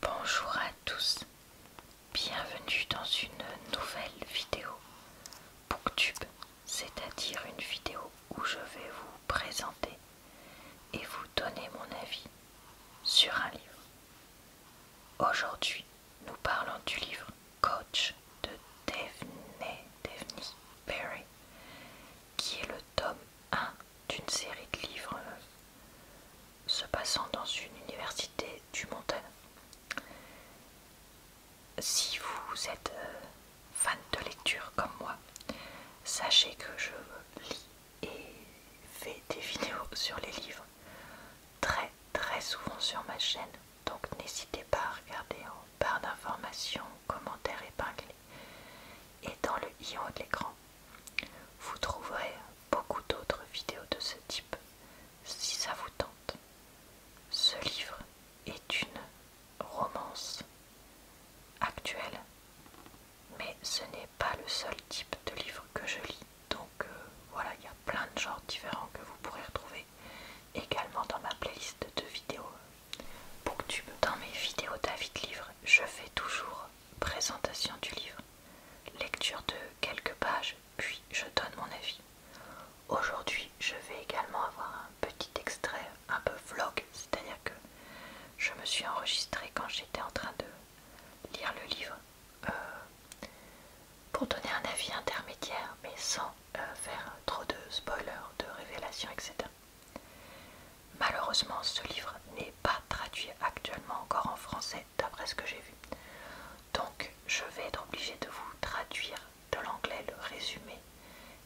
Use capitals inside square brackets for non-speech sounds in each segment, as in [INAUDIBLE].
Bonjour à tous, bienvenue dans une nouvelle vidéo Booktube, c'est-à-dire une vidéo où je vais vous présenter et vous donner mon avis sur un livre. Aujourd'hui, nous parlons du livre Coach de Devney Perry, qui est le tome 1 d'une série de livres euh, se passant dans une université du Montana. Si vous êtes euh, fan de lecture comme moi, sachez que je lis et fais des [LAUGHS] vidéos sur les livres très très souvent sur ma chaîne. Donc n'hésitez pas à regarder en barre d'informations, commentaires épinglés et dans le i de l'écran. Vous trouverez beaucoup d'autres vidéos de ce type si ça vous tente. Ce livre est une romance actuelle, mais ce n'est pas le seul type de livre que je lis. Donc euh, voilà, il y a plein de genres différents que vous pourrez retrouver également dans ma playlist de vidéos Booktube. Dans mes vidéos d'avis de Livre, je fais toujours présentation du livre. Lecture de quelques pages, puis je donne mon avis. Aujourd'hui, je vais également avoir un petit extrait, un peu vlog, c'est-à-dire que je me suis enregistré quand j'étais en train de lire le livre euh, pour donner un avis intermédiaire, mais sans euh, faire trop de spoilers, de révélations, etc. Malheureusement, ce livre n'est pas traduire traduit actuellement encore en français, d'après ce que j'ai vu. Donc, je vais être obligé de vous traduire de l'anglais le résumé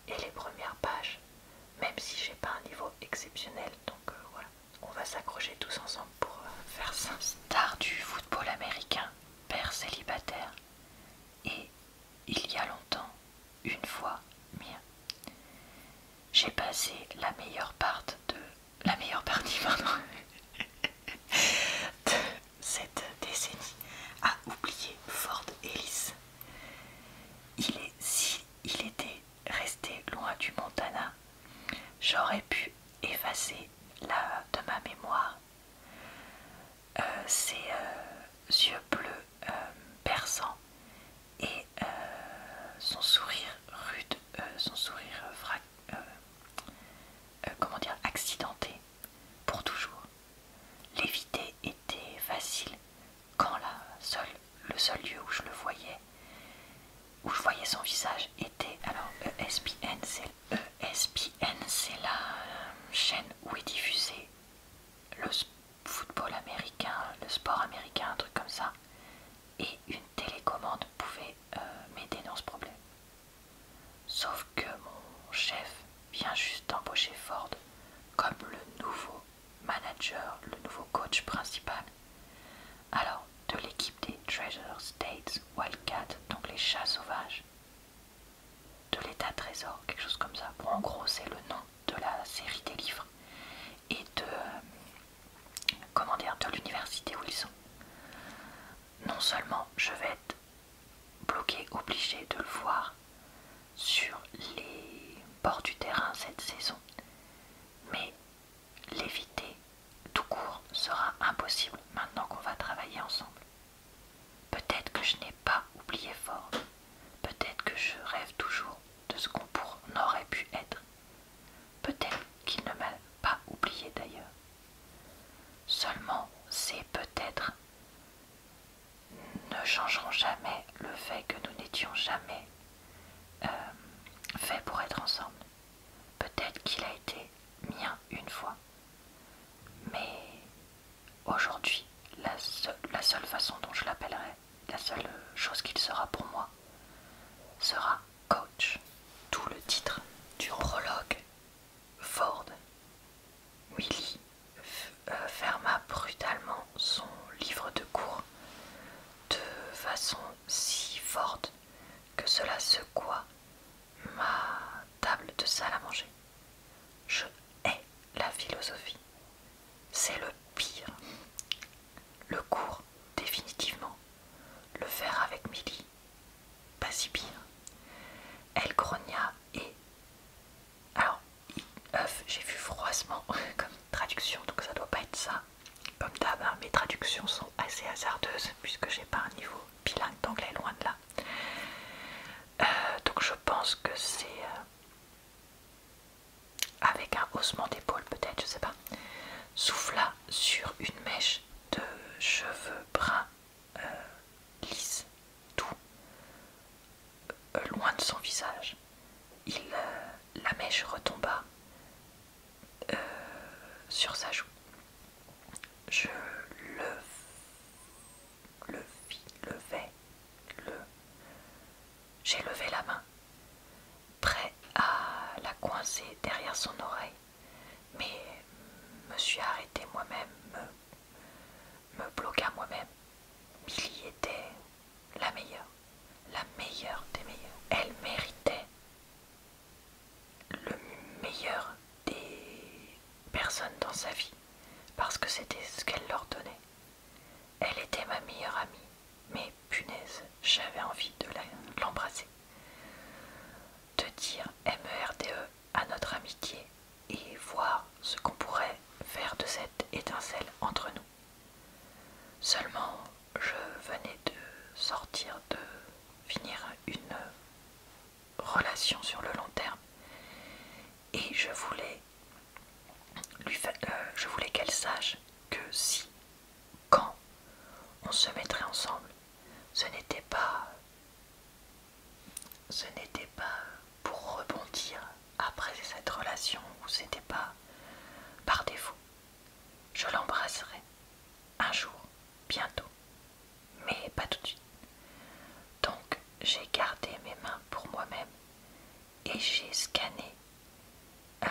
et les premières pages, même si j'ai pas un niveau exceptionnel. Donc euh, voilà, on va s'accrocher tous ensemble pour euh, faire ça. Star du football américain, père célibataire, et il y a longtemps, une fois mien. J'ai passé la meilleure part de la meilleure partie de cette décennie a oublié Ford Ellis. Il est, si il était resté loin du Montana, j'aurais pu effacer la, de ma mémoire euh, ses euh, yeux bleus euh, perçants et euh, son sourire rude, euh, son sourire euh, comment dire, accidenté pour toujours. L'éviter était facile quand la le seul lieu où je le voyais, où je voyais son visage était alors e ESPN, e c'est la chaîne où est diffusé le football américain, le sport américain, un truc comme ça, et une télécommande pouvait euh, m'aider dans ce problème. Sauf que mon chef vient juste d'embaucher Ford comme le nouveau manager, le nouveau coach principal. Alors, de l'équipe des Treasure States Wildcat, donc les chats sauvages, de l'état trésor, quelque chose comme ça. pour en gros, c'est le nom de la série des livres et de, comment dire, de l'université où ils sont. Non seulement je vais être bloqué, obligé de le voir sur les bords du terrain cette saison, mais l'éviter tout court sera impossible maintenant qu'on va travailler ensemble. Peut-être que je n'ai pas oublié fort, peut-être que je rêve toujours de ce qu'on aurait pu être, Peut-être qu'il ne m'a pas oublié d'ailleurs. Seulement, c'est peut-être ne changeront jamais le fait que nous n'étions jamais euh, faits pour être ensemble. Peut-être qu'il a été mien une fois. Mais aujourd'hui, la seule façon dont je l'appellerai, la seule chose qu'il sera pour moi, sera coach, tout le titre du prologue. Ford. Willy euh, ferma brutalement son livre de cours de façon si forte que cela secoua ma table de salle à manger. Je hais la philosophie. C'est le pire. Le cours, définitivement. Le faire avec Milly, pas si bien Elle grogna et. Alors, j'ai vu froissement [LAUGHS] comme traduction, donc ça doit pas être ça. Comme d'hab, hein, mes traductions sont assez hasardeuses puisque j'ai pas un niveau bilingue d'anglais, loin de là. Euh, donc je pense que c'est euh, avec un haussement d'épaule peut-être, je sais pas. Souffla sur une mèche de cheveux bruns euh, lisses, doux, euh, loin de son visage. Il, euh, la mèche retomba sur sa joue. Je le, le vis, levais, le. J'ai levé la main prêt à la coincer derrière son oreille, mais me suis arrêté moi-même, me, bloqué moi-même. Billy était la meilleure, la meilleure des meilleures. Elle méritait le meilleur des personnes dans sa vie, parce que c'était ce qu'elle leur donnait. Elle était ma meilleure amie, mais Punaise, j'avais envie de l'embrasser. De dire M-E-R-D-E e à notre amitié et voir ce qu'on pourrait faire de cette étincelle entre nous. Seulement, je venais de sortir de finir une relation sur le long terme et je voulais lui euh, je voulais qu'elle sache que si quand on se mettrait ensemble, ce n'était pas ce n'était pas pour rebondir après cette relation ou c'était pas par défaut. Je l'embrasserai un jour, bientôt, mais pas tout de suite. Donc j'ai gardé mes mains pour moi-même et j'ai scanné euh,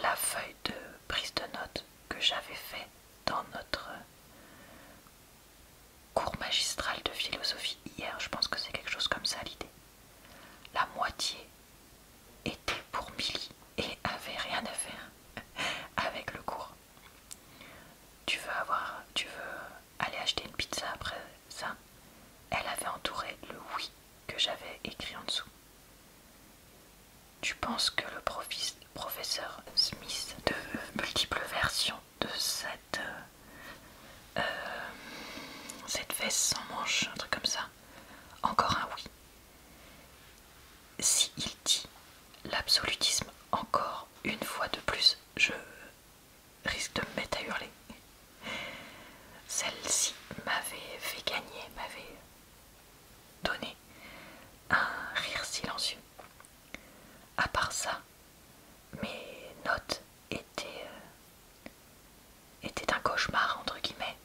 la feuille de prise de notes que j'avais fait dans notre cours magistral de philosophie hier, je pense que c'est quelque chose comme ça l'idée. La moitié était pour Milly et avait rien à faire [LAUGHS] avec le cours. Tu veux avoir, tu veux aller acheter une pizza après ça Elle avait entouré le oui que j'avais écrit en dessous. Tu penses que le professeur Smith de multiples versions de cette, euh, euh, cette veste sans manche, un truc comme ça Encore un oui. Si il dit l'absolutisme encore une fois de plus, je risque de me mettre à hurler. Celle-ci m'avait fait gagner, m'avait donné un rire silencieux. À part ça, mes notes euh, étaient, un cauchemar, entre guillemets.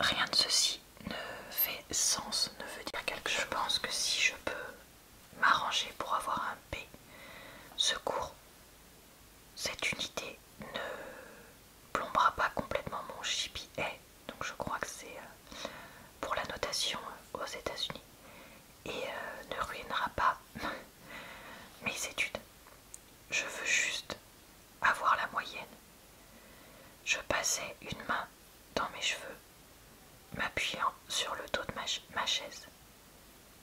Rien de ceci ne fait sens, ne veut dire quelque chose. Je pense que si je peux m'arranger pour avoir un B, secours, cette unité ne plombera pas complètement mon GPA donc je crois que c'est euh, pour la notation euh, aux États-Unis, et euh, ne ruinera pas [LAUGHS] mes études. Je veux juste avoir la moyenne. Je passais une main dans mes cheveux, m'appuyant sur le dos de ma, chaise.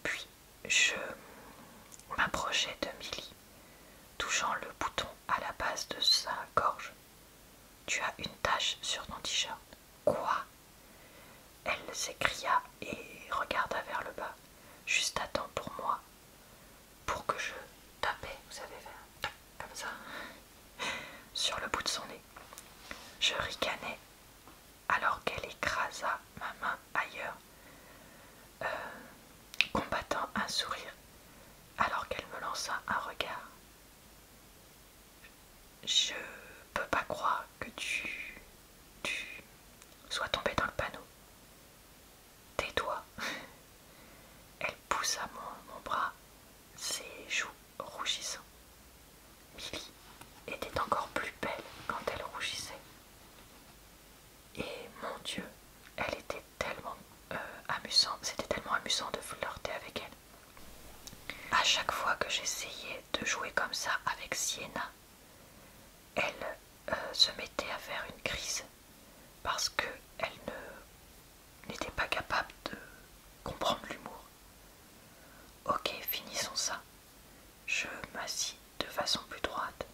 Puis je m'approchais de Millie touchant le bouton à la base de sa gorge. Tu as une tache sur ton t-shirt. Quoi Elle s'écria et regarda vers le bas. Juste à temps pour moi, pour que je tapais, vous savez, comme ça, [LAUGHS] sur le bout de son nez. Je ricanais alors qu'elle écrasa ma main ailleurs euh, combattant un sourire alors qu'elle me lança un regard. Je peux pas croire que tu. sois tombé dans le panneau. Tais-toi. [LAUGHS] Elle poussa mon, mon bras, ses joues rougissant. Milly était encore plus belle quand elle rougissait. Et mon Dieu, elle était tellement euh, amusante, c'était tellement amusant de flirter avec elle. À chaque fois que j'essayais de jouer comme ça avec Sienna, elle euh, se mettait à faire une crise parce que elle n'était pas capable de comprendre l'humour. Ok, finissons ça. Je m'assis de façon plus droite,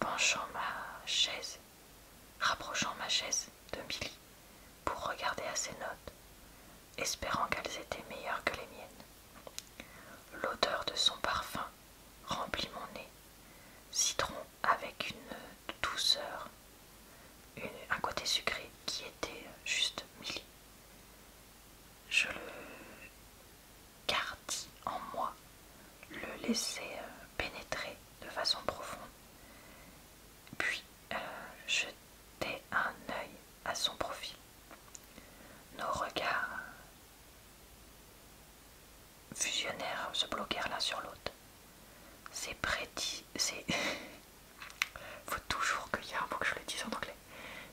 penchant ma chaise rapprochant ma chaise de Milly pour regarder à ses notes, espérant qu'elles étaient meilleures que les miennes. L'odeur de son parfum remplit mon nez, citron avec une douceur, un côté sucré qui était juste Milly. Je le Cardi en moi, le laisser euh, pénétrer de façon profonde. Puis je euh, jeter un œil à son profil. Nos regards fusionnèrent, se bloquèrent l'un sur l'autre. C'est prédit, c'est. [LAUGHS] Faut toujours qu'il y a un mot que je le dise en anglais.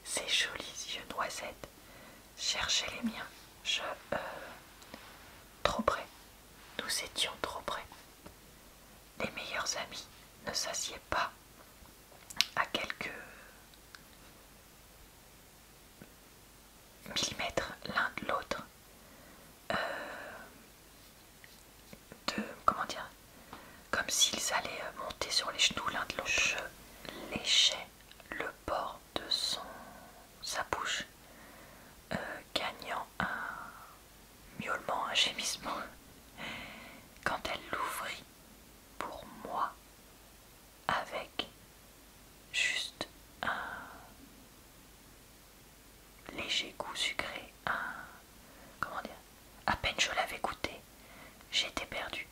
Ces jolis yeux noisettes chercher les miens. Je. Euh, trop près. Nous étions trop près. Les meilleurs amis ne s'assiedent pas à quelques millimètres l'un de l'autre. Euh, de. Comment dire Comme s'ils allaient monter sur les genoux l'un de l'autre. Je léchais le bord de son, sa bouche, euh, gagnant un miaulement, un gémissement, [LAUGHS] quand elle l'ouvrit pour moi avec juste un léger goût sucré, un... comment dire À peine je l'avais goûté, j'étais perdu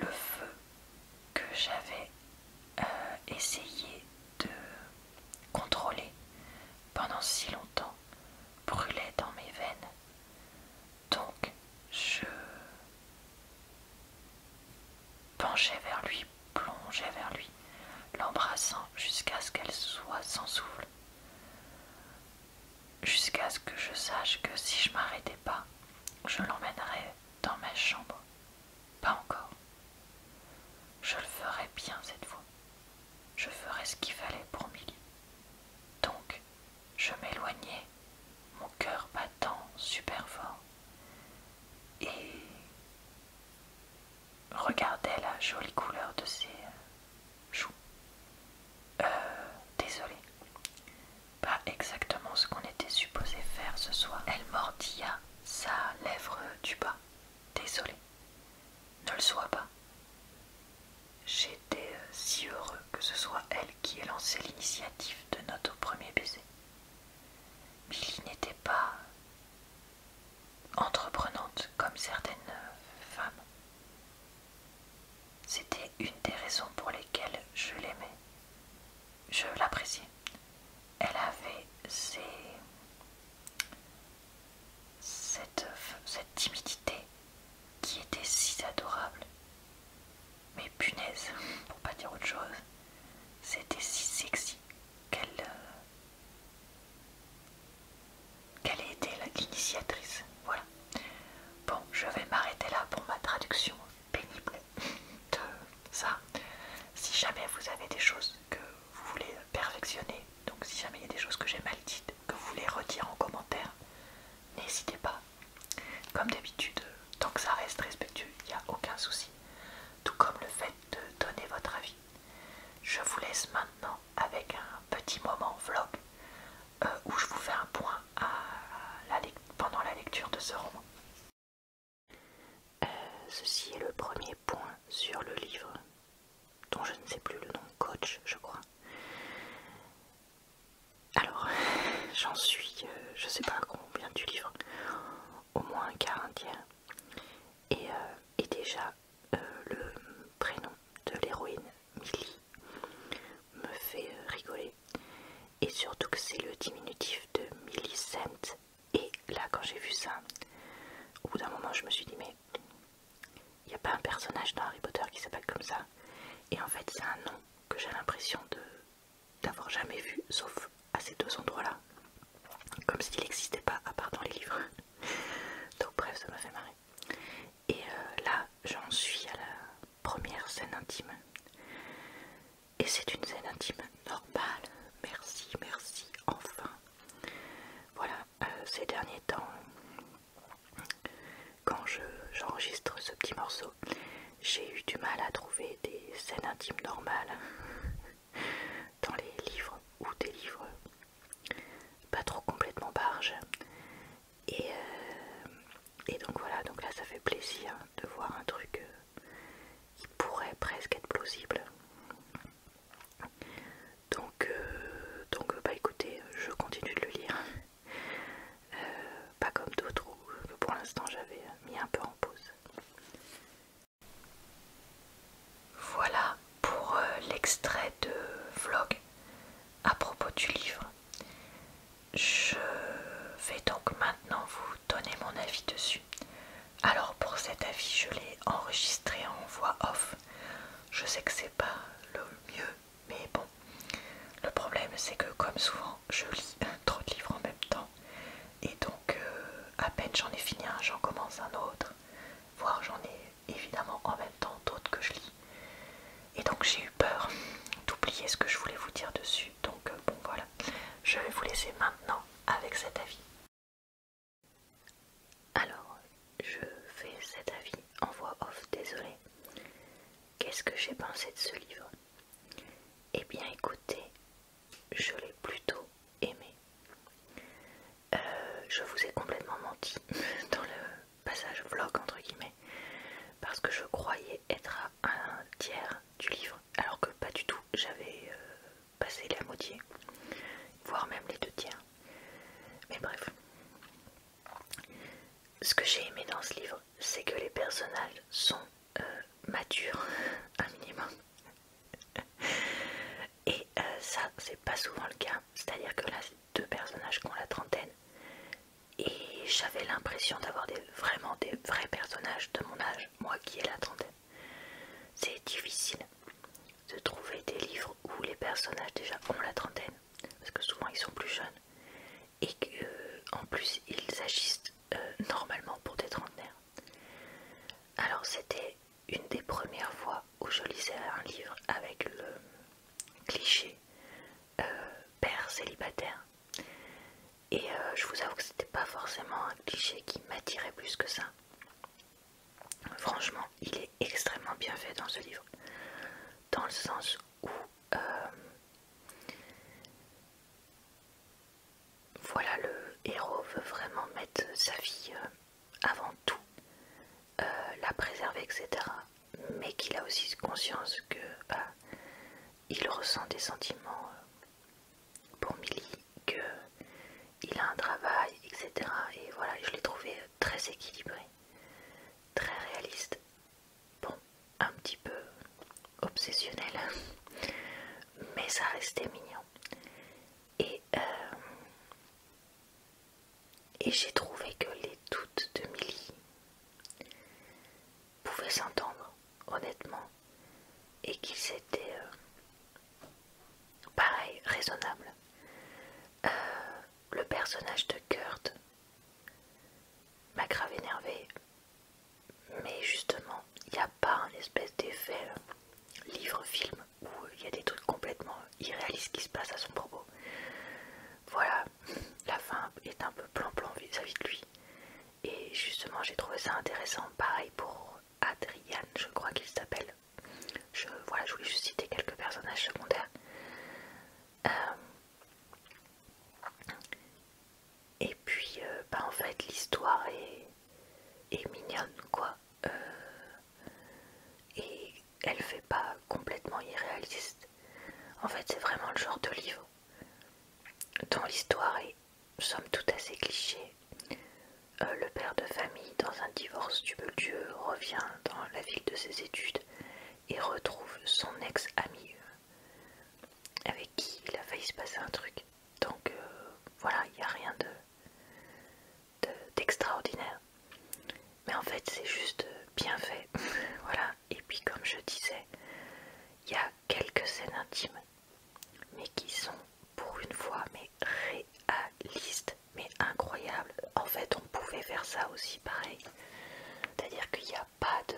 Le feu que j'avais euh, essayé de contrôler pendant si longtemps brûlait dans mes veines. Donc je penchais vers lui, plongeais vers lui, l'embrassant jusqu'à ce qu'elle soit sans souffle, jusqu'à ce que je sache que si je m'arrêtais pas, je l'emmènerais dans ma chambre. Pas encore. Je le ferai bien cette fois. Je ferai ce qu'il fallait pour Milly. Donc, je m'éloignais, mon cœur battant super fort, et regardais la jolie couleur de ses euh, joues. Euh, désolée. Pas exactement ce qu'on était supposé faire ce soir. Elle mordilla sa lèvre du bas. Désolée, ne le sois pas. J'étais euh, si heureux que ce soit elle qui ait lancé l'initiative de notre premier baiser. Billy n'était pas entreprenante comme certaines euh, femmes. C'était une des raisons pour lesquelles je l'aimais je l'appréciais. Elle avait cette, timidité qui était si adorable. Mais punaise, pour pas dire autre chose, c'était si sexy qu'elle euh, qu'elle été l'initiatrice. Voilà. Bon, je vais m'arrêter là pour ma traduction pénible de ça. Si jamais vous avez des choses que vous voulez perfectionner, donc si jamais il y a des choses que j'ai mal dites, que vous voulez redire en commentaire, n'hésitez pas. Comme d'habitude, tant que ça reste respectueux, il n'y a aucun souci. Tout comme le fait de donner votre avis. Je vous laisse maintenant avec un petit moment vlog euh, où je vous fais un point pendant la lecture de ce roman. Euh, ceci est le premier point sur le livre, dont je ne sais plus le nom, coach je crois. Alors, [LAUGHS] j'en suis, je euh, je sais pas combien du livre, au moins un quart, un euh, Et, déjà, le prénom de l'héroïne, Millie, me fait rigoler. Et surtout que c'est le diminutif de Millicent, et là, quand j'ai vu ça, au bout d'un moment, je me suis dit, mais il n'y a pas un personnage dans Harry Potter qui s'appelle comme ça. Et en fait, c'est un nom que j'ai l'impression d'avoir jamais vu, sauf à ces deux endroits-là. Comme s'il n'existait pas, à part dans les livres. [LAUGHS] Donc bref, ça m'a fait marrer. Et euh, là, j'en suis à la première scène intime. Et c'est une scène intime normale. Merci, merci, enfin. Voilà, euh, ces derniers temps, quand j'enregistre ce petit morceau, j'ai eu du mal à trouver des scènes intimes normales [LAUGHS] dans les livres ou des livres pas trop complètement barges. Et, euh, et donc voilà, donc là ça fait plaisir de voir un truc euh, il pourrait presque être plausible. Donc, euh, donc euh, bah écoutez, je continue de le lire. Euh, pas comme d'autres que pour l'instant j'avais mis un peu en pause. Voilà pour l'extrait de vlog à propos du livre. Je vais donc maintenant vous donner mon avis dessus. Alors pour cet avis, je l'ai enregistré en voix off. Je sais que c'est pas le mieux, mais bon. Le problème, c'est que comme souvent, je lis un [LAUGHS] trop de livres en même temps. Et donc, euh, à peine j'en ai fini un, j'en commence un autre. Voire j'en ai évidemment en même temps d'autres que je lis. Et donc j'ai eu peur d'oublier ce que je voulais vous dire dessus. Donc euh, bon voilà, je vais vous laisser maintenant avec cet avis. Alors, je fais cet avis en voix off, désolé. Qu'est-ce que j'ai pensé de ce livre Eh bien écoutez, je l'ai plutôt aimé. Euh, je vous ai complètement menti [LAUGHS] dans le passage vlog entre guillemets parce que je croyais être à un tiers du livre alors que pas du tout, j'avais euh, passé la moitié, voire même les deux tiers. Mais bref, ce que j'ai aimé dans ce livre, c'est que les personnages sont euh, matures, [LAUGHS] un minimum. [LAUGHS] Et euh, ça, c'est pas souvent le cas. C'est-à-dire que là, c'est deux personnages qui ont la trentaine. Et j'avais l'impression d'avoir vraiment des vrais personnages de mon âge, moi qui ai la trentaine. C'est difficile de trouver des livres où les personnages déjà ont la trentaine, parce que souvent ils sont plus jeunes, et qu'en euh, plus ils agissent euh, normalement pour des trentenaires. Alors c'était une des premières fois où je lisais un livre avec le euh, cliché père célibataire et euh, je vous avoue que c'était pas forcément un cliché qui m'attirait plus que ça. Franchement, il est extrêmement bien fait dans ce livre, dans le sens où euh, voilà le héros veut vraiment mettre sa fille euh, avant tout, la préserver, etc. Mais qu'il a aussi conscience que bah, il ressent des sentiments pour Milly qu'il a un travail, etc. Et voilà, je l'ai trouvé très équilibré, très réaliste, bon, un petit peu obsessionnel, [LAUGHS] mais ça restait mignon. Et, euh, et j'ai trouvé que les doutes de Milly pouvaient s'entendre, honnêtement et qu'ils étaient euh, pareil, raisonnable. Euh, le personnage de Kurt m'a grave énervé, mais justement, il n'y a pas un espèce d'effet euh, livre-film où il y a des trucs complètement irréalistes qui se passent à son propos. Voilà, la fin est un peu plan-plan vis-à-vis de lui. Et justement, j'ai trouvé ça intéressant, pareil pour Adriane, je crois qu'il s'appelle. Je, voilà, je voulais juste citer quelques personnages secondaires. Euh, et puis, euh, bah, en fait, l'histoire est, mignonne, quoi. Euh, et elle fait pas complètement irréaliste. En fait, c'est vraiment le genre de livre dont l'histoire est sommes tout assez cliché. Euh, le père de famille, dans un divorce tumultueux, revient dans la ville de ses études et retrouve son ex amie euh, avec qui il a failli se passer un truc. Donc euh, voilà, il n'y a rien d'extraordinaire. De, d'extraordinaire. Mais en fait, c'est juste bien fait. [LAUGHS] voilà. Et puis comme je disais, il y a quelques scènes intimes mais qui sont pour une fois mais réalistes, mais incroyables. En fait, on pouvait faire ça aussi pareil, c'est-à-dire qu'il n'y a pas de,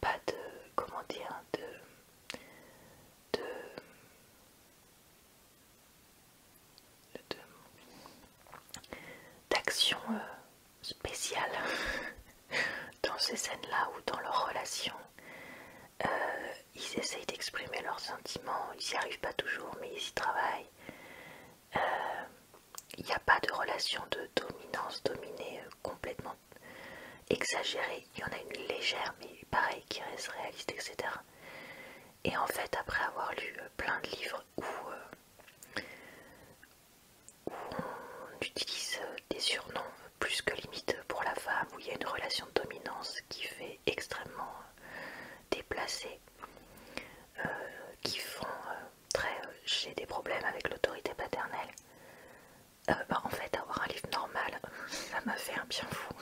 pas de, comment dire, de, de, d'action euh, spéciale [LAUGHS] dans ces scènes-là ou dans leur relation. Euh, ils essayent d'exprimer leurs sentiments, ils n'y arrivent pas toujours, mais ils y travaillent. Il euh, n'y a pas de relation de dominance dominée euh, complètement exagérée. Il y en a une légère, mais pareil, qui reste réaliste, etc. Et en fait, après avoir lu plein de livres où, on utilise des surnoms plus que limite pour la femme, où il y a une relation de dominance qui fait extrêmement euh, déplacée, euh, qui font euh, très j'ai des problèmes avec l'autorité paternelle. Bah, en fait, avoir un livre normal, [LAUGHS] ça m'a fait un bien fou.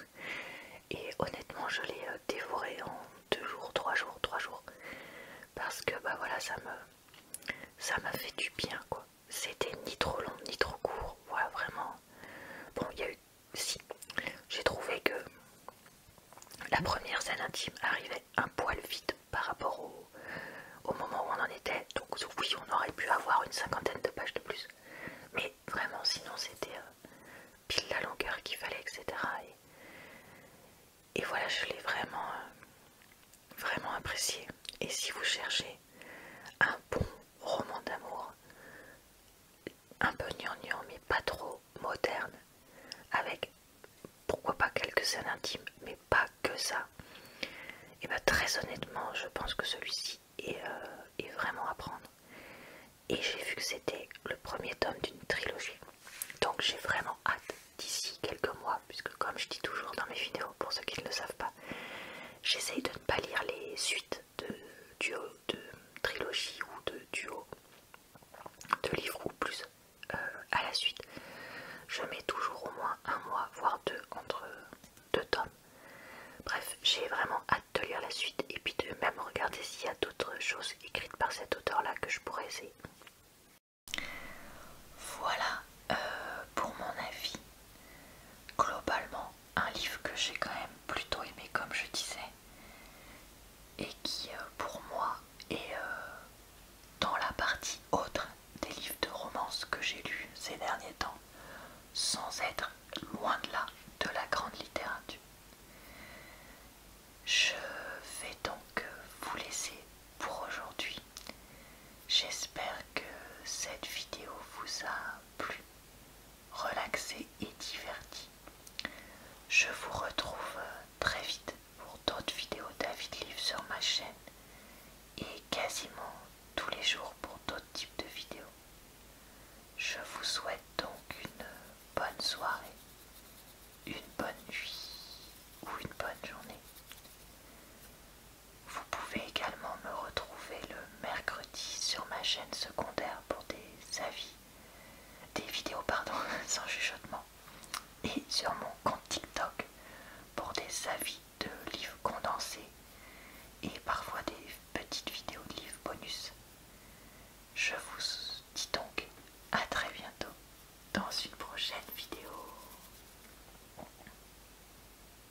Et honnêtement, je l'ai dévoré en deux jours, trois jours, trois jours, parce que bah voilà, ça me ça m'a fait du bien quoi c'était ni trop long ni trop court. Voilà, vraiment. Bon, il y a eu. Si, j'ai trouvé que la première scène intime arrivait un poil vite par rapport au, moment où on en était. Donc, oui, on aurait pu avoir une cinquantaine de pages de plus. Mais vraiment, sinon, c'était euh, pile la longueur qu'il fallait, etc. Et, voilà, je l'ai vraiment, euh, vraiment apprécié. Et si vous cherchez un bon roman d'amour, un peu gnangnan mais pas trop moderne, avec pourquoi pas quelques scènes intimes, mais pas que ça. Et eh bien très honnêtement, je pense que celui-ci est, euh, est vraiment à prendre. Et j'ai vu que c'était le premier tome d'une trilogie. Donc j'ai vraiment hâte d'ici quelques mois, puisque comme je dis toujours dans mes vidéos, pour ceux qui ne le savent pas, j'essaye de pas lire les suites de, duo, de trilogie ou de duo de livres ou plus euh, à la suite. Je mets toujours au moins un mois, voire deux, entre deux tomes. Bref, j'ai vraiment hâte de lire la suite et puis de même regarder s'il y a d'autres choses écrites par cet auteur-là que je pourrais essayer. Voilà euh, pour mon avis. Globalement, un livre que j'ai quand même plutôt aimé comme je disais et qui euh, pour moi est euh, dans la partie autre des livres de romance que j'ai lus ces derniers temps sans être loin de là de la grande littérature. Je vais donc euh, vous laisser pour aujourd'hui. J'espère que cette vidéo vous a plus relaxé et diverti. Je vous retrouve très vite pour d'autres vidéos David Live sur ma chaîne et quasiment tous les jours pour d'autres types de vidéos. Je vous souhaite donc une bonne soirée, une bonne nuit ou une bonne journée. Vous pouvez également me retrouver le mercredi sur ma chaîne secondaire pour des avis, des vidéos pardon, [LAUGHS] sans chuchotement, et sur mon compte TikTok pour des avis de livres condensés et parfois des petites vidéos de livres bonus. Je vous dis donc à très bientôt dans une prochaine vidéo.